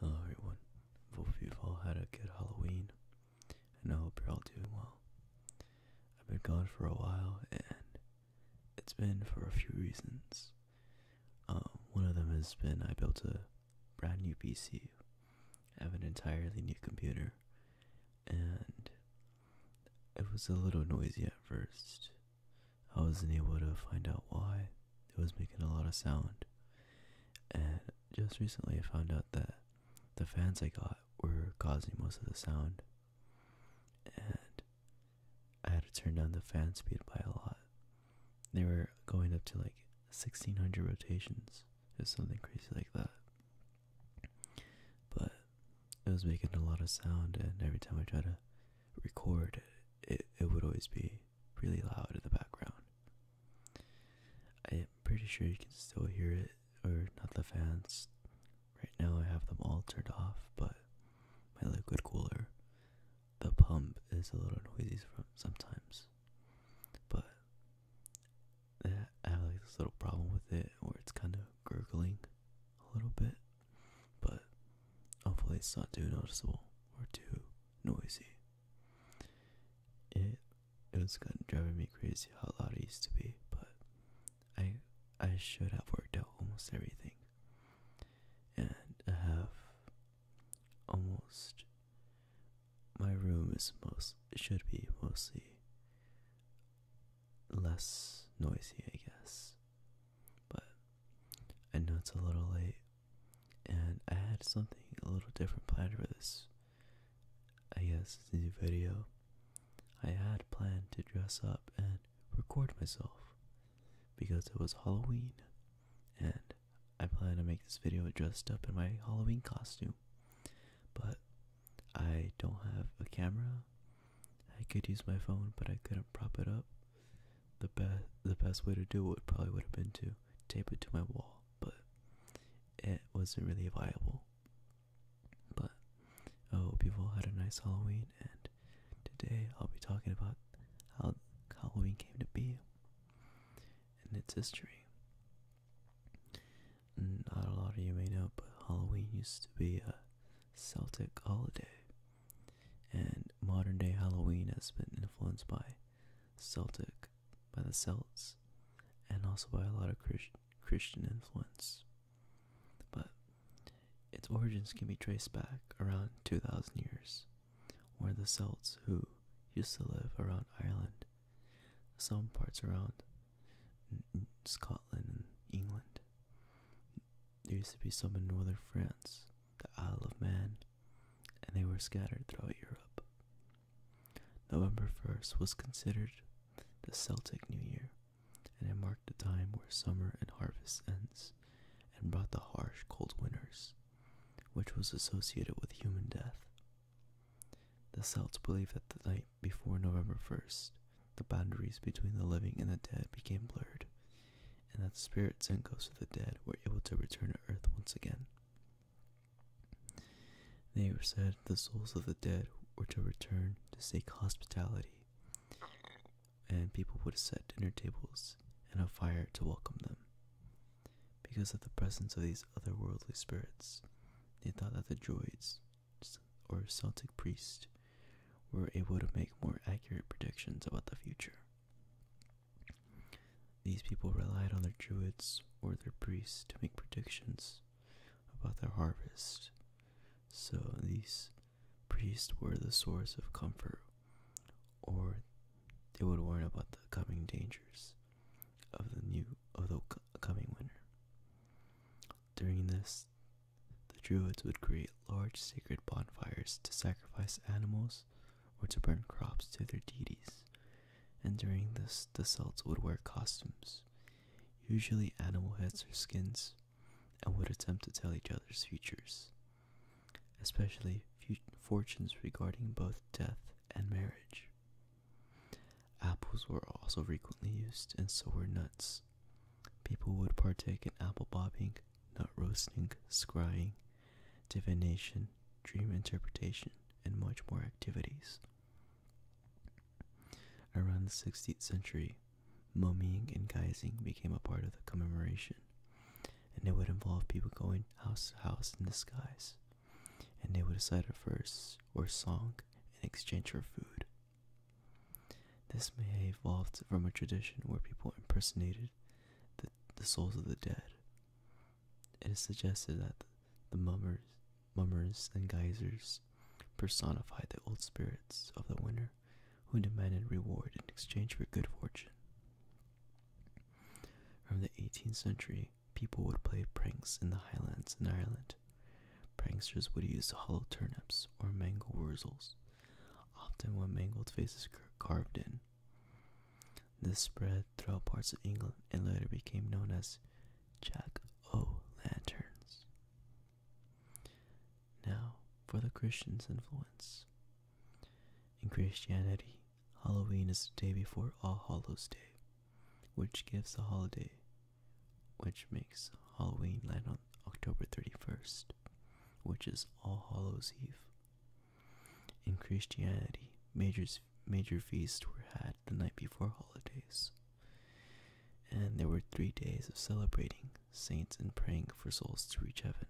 Hello everyone, hope you've all had a good Halloween, and I hope you're all doing well. I've been gone for a while, and it's been for a few reasons. Um, one of them has been I built a brand new PC, I have an entirely new computer, and it was a little noisy at first. I wasn't able to find out why, it was making a lot of sound. And just recently I found out that the fans I got were causing most of the sound. And I had to turn down the fan speed by a lot. They were going up to like 1600 rotations or something crazy like that. But it was making a lot of sound, and every time I try to record, it, it would always be really loud in the background. I'm pretty sure you can still hear it, or not the fans. Right now, I have them all turned off, but my liquid cooler, the pump is a little noisy from sometimes. But I have like this little problem with it where it's kind of gurgling a little bit, but hopefully, it's not too noticeable or too noisy. It it was kind of driving me crazy how loud it used to be, but I I should have worked out almost everything, and I have almost my room is most should be mostly less noisy, I guess. But I know it's a little late and I had something a little different planned for this, I guess, this new video. I had planned to dress up and record myself because it was Halloween, and I plan to make this video dressed up in my Halloween costume, but I don't have a camera. I could use my phone, but I couldn't prop it up the best the best way to do it probably would have been to tape it to my wall, but it wasn't really viable. But oh, hope have all had a nice Halloween, and today I'll be talking about how Halloween came to be and its history. Not a lot of you may know, but Halloween used to be a Celtic holiday and modern day Halloween has been influenced by Celtic, by the Celts, and also by a lot of Christian influence. But its origins can be traced back around 2,000 years, where the Celts, who used to live around Ireland, some parts around Scotland and England, there used to be some in northern France the Isle of Man, and they were scattered throughout Europe. November 1st was considered the Celtic New Year, and it marked the time where summer and harvest ends and brought the harsh cold winters, which was associated with human death. The Celts believed that the night before November 1st, the boundaries between the living and the dead became blurred, and that the spirits and ghosts of the dead were able to return to earth once again. They were said the souls of the dead were to return to seek hospitality, and people would set dinner tables and a fire to welcome them. Because of the presence of these otherworldly spirits, they thought that the druids or Celtic priests were able to make more accurate predictions about the future. These people relied on their druids or their priests to make predictions about their harvest. So these priests were the source of comfort, or they would warn about the coming dangers of the new of the coming winter. During this the Druids would create large sacred bonfires to sacrifice animals or to burn crops to their deities, and during this, the Celts would wear costumes, usually animal heads or skins, and would attempt to tell each other's futures, especially fortunes regarding both death and marriage. Apples were also frequently used, and so were nuts. People would partake in apple bobbing, nut roasting, scrying, divination, dream interpretation, and much more activities. Around the 16th century, mummying and guising became a part of the commemoration, and it would involve people going house to house in disguise, and they would recite a verse or song in exchange for food. This may have evolved from a tradition where people impersonated the, souls of the dead. It is suggested that the mummers, mummers and geisers personified the old spirits of the winter who demanded reward in exchange for good fortune. From the 18th century, people would play pranks in the highlands and Ireland. Pranksters would use hollow turnips or mango wurzels often with mangled faces carved in. This spread throughout parts of England and later became known as Jack O' Lanterns. Now for the Christians' influence. In Christianity, Halloween is the day before All Hallows Day, which gives the holiday, which makes Halloween land on October 31st, which is All Hallows' Eve. In Christianity, majors, major feasts were had the night before holidays, and there were three days of celebrating saints and praying for souls to reach heaven.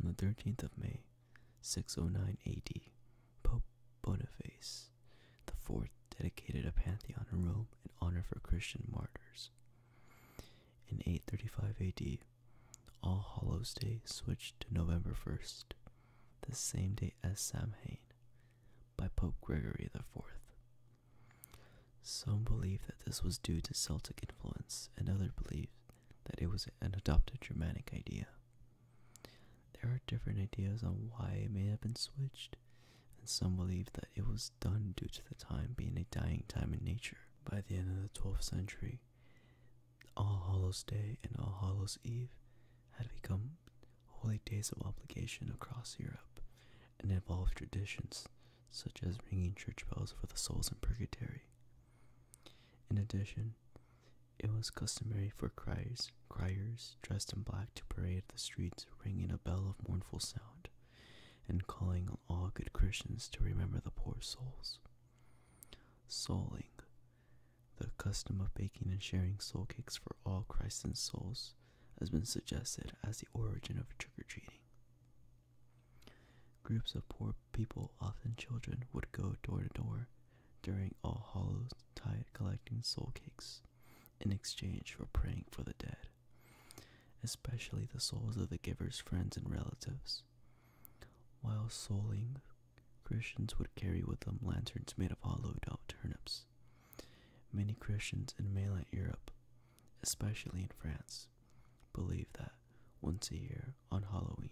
On the 13th of May, 609 AD, Pope Boniface the fourth, dedicated a pantheon in Rome tomb in honor for Christian martyrs. In 835 AD, All Hallows Day switched to November 1st, the same day as Samhain, by Pope Gregory IV. Some believe that this was due to Celtic influence, and others believe that it was an adopted Germanic idea. There are different ideas on why it may have been switched, and some believe that it was done due to the time being a dying time in nature. By the end of the 12th century, All Hallows Day and All Hallows Eve had become holy days of obligation across Europe and involved traditions such as ringing church bells for the souls in purgatory. In addition, it was customary for criers, criers dressed in black to parade the streets, ringing a bell of mournful sound, and calling all good Christians to remember the poor souls. Souling, the custom of baking and sharing soul cakes for all Christened souls, has been suggested as the origin of trick or treating. Groups of poor people, often children, would go door to door during All Hallows Tide collecting soul cakes in exchange for praying for the dead, especially the souls of the giver's friends and relatives. While souling, Christians would carry with them lanterns made of hollowed out turnips. Many Christians in mainland Europe, especially in France, believe that once a year on Halloween,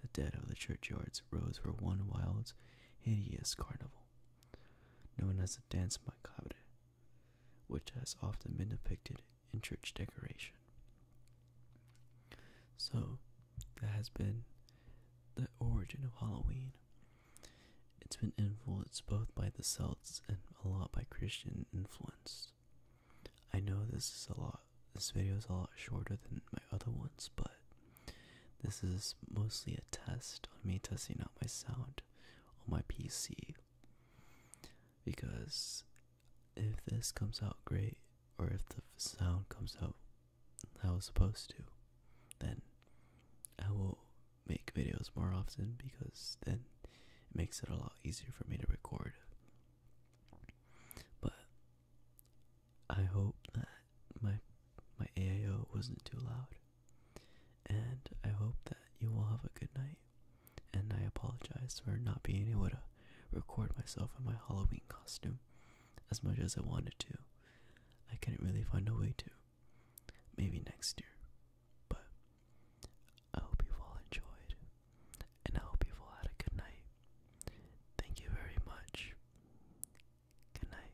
the dead of the churchyards rose for one wild, hideous carnival known as the dance macabre, which has often been depicted in church decoration. So, that has been the origin of Halloween. It's been influenced both by the Celts and a lot by Christian influence. I know this is a lot, this video is a lot shorter than my other ones, but this is mostly a test on me testing out my sound on my PC. Because if this comes out great, or if the sound comes out how it's supposed to, then I will make videos more often because then it makes it a lot easier for me to record. But I hope that my my AIO wasn't too loud. And I hope that you all have a good night. And I apologize for not being able to record myself in my Halloween costume as much as I wanted to. I couldn't really find a way to. Maybe next year. But I hope you all enjoyed. And I hope you all had a good night. Thank you very much. Good night.